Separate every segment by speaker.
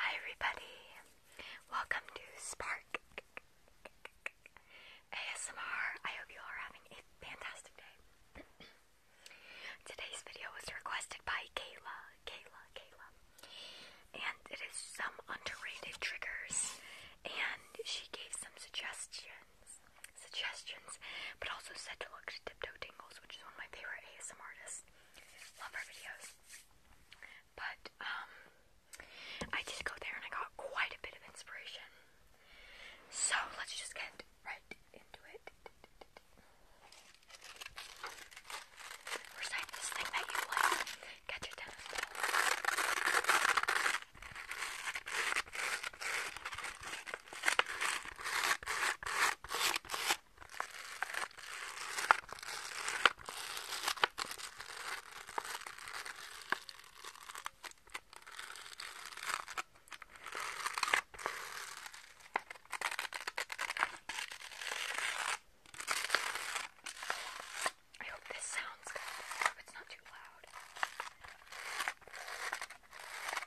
Speaker 1: Hi, everybody. Welcome to Spark ASMR. I hope you are having a fantastic day. Today's video was requested by Kayla. Kayla, Kayla. And it is some underrated triggers. And she gave some suggestions. Suggestions, but also said to look to Tiptoe Tingles, which is one of my favorite ASMR artists love her videos. But um, I just go there and I got quite a bit of inspiration. So let's just get right into it. Recite this thing that you like. your tennis ball. I hope this sounds good. I hope it's not too loud.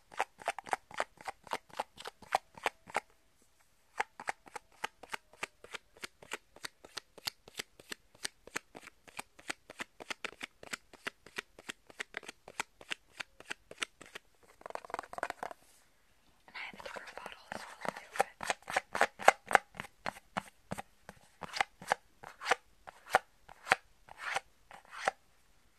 Speaker 1: And I have a different bottle as well too, but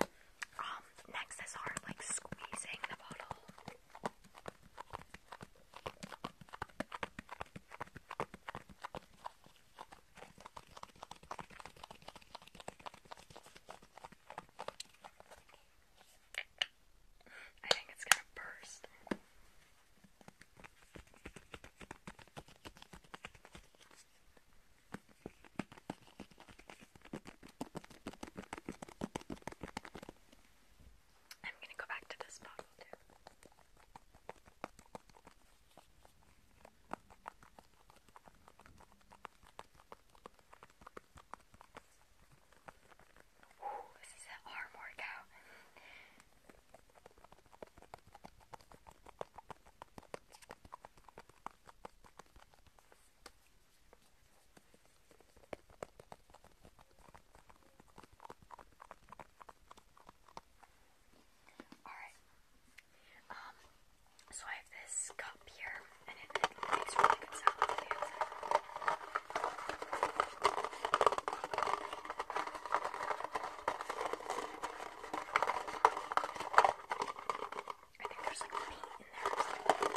Speaker 1: Um, next is hard like squeezing the bottle. I think it's gonna burst. I'm going to go back to this bottle Ooh, this is an arm workout. Alright. Um, so I have this cup here, and it, it makes really good sound with the hands.
Speaker 2: I think there's like paint in there or something.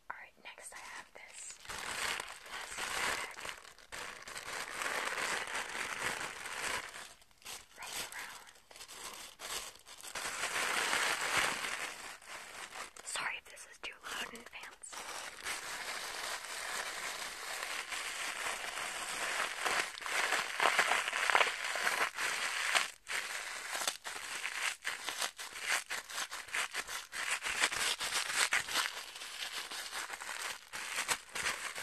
Speaker 1: Alright, next I have this plastic bag. Right around. Sorry if this is too loud in advance.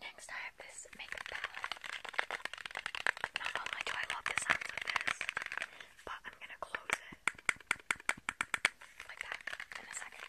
Speaker 2: Next, I have this makeup palette. Not only do I love the sounds of this, but I'm gonna close it
Speaker 1: like that in a second.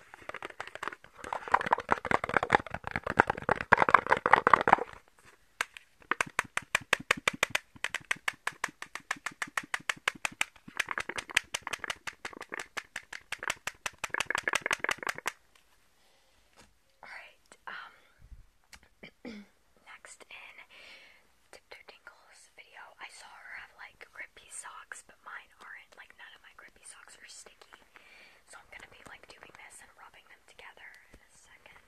Speaker 1: Alright, um, next in Tiptoe Tingle's video, I saw her have like rippy socks, mine aren't. Like none of my grippy socks are sticky. So I'm gonna be like doing this and rubbing them together in a second.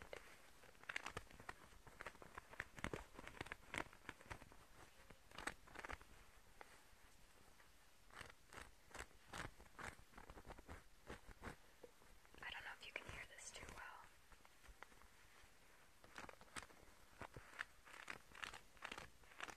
Speaker 1: I don't know if you can hear this too well.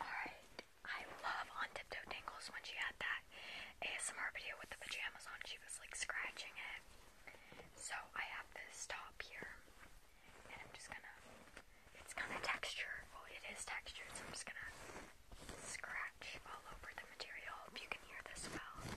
Speaker 1: Alright, I love on Tiptoe Tingles when she had that ASMR video with the pajamas on, she was like scratching it. So I have this top here and I'm just gonna, it's kind of texture, well it is textured, so I'm just gonna scratch all over the material. I you can hear this well.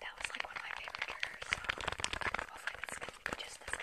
Speaker 1: That was like one of my favorite triggers, so hopefully this can be just this guy.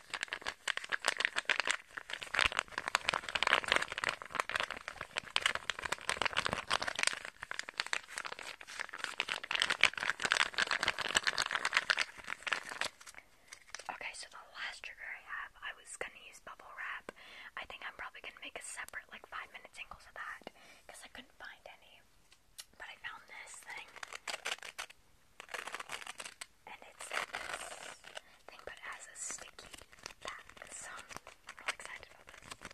Speaker 1: Okay, so the last trigger I have, I was gonna use bubble wrap. I think I'm probably gonna make a separate, like, five minute singles of that because I couldn't find any. But I found this thing. And it's this thing, but it a sticky back. So I'm real excited about this.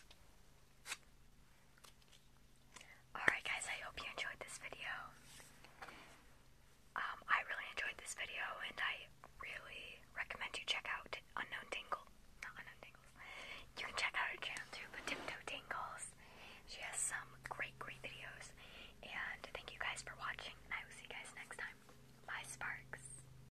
Speaker 1: Alright guys, I hope you enjoyed this video. Um, I really enjoyed this video and I really recommend you check out Unknown Tingle. Not Unknown Tingles. You can check out her channel too, but Tiptoe Tingles. She has some great, great videos. And thank you guys for watching I will see you guys next time.
Speaker 2: Bye Sparks.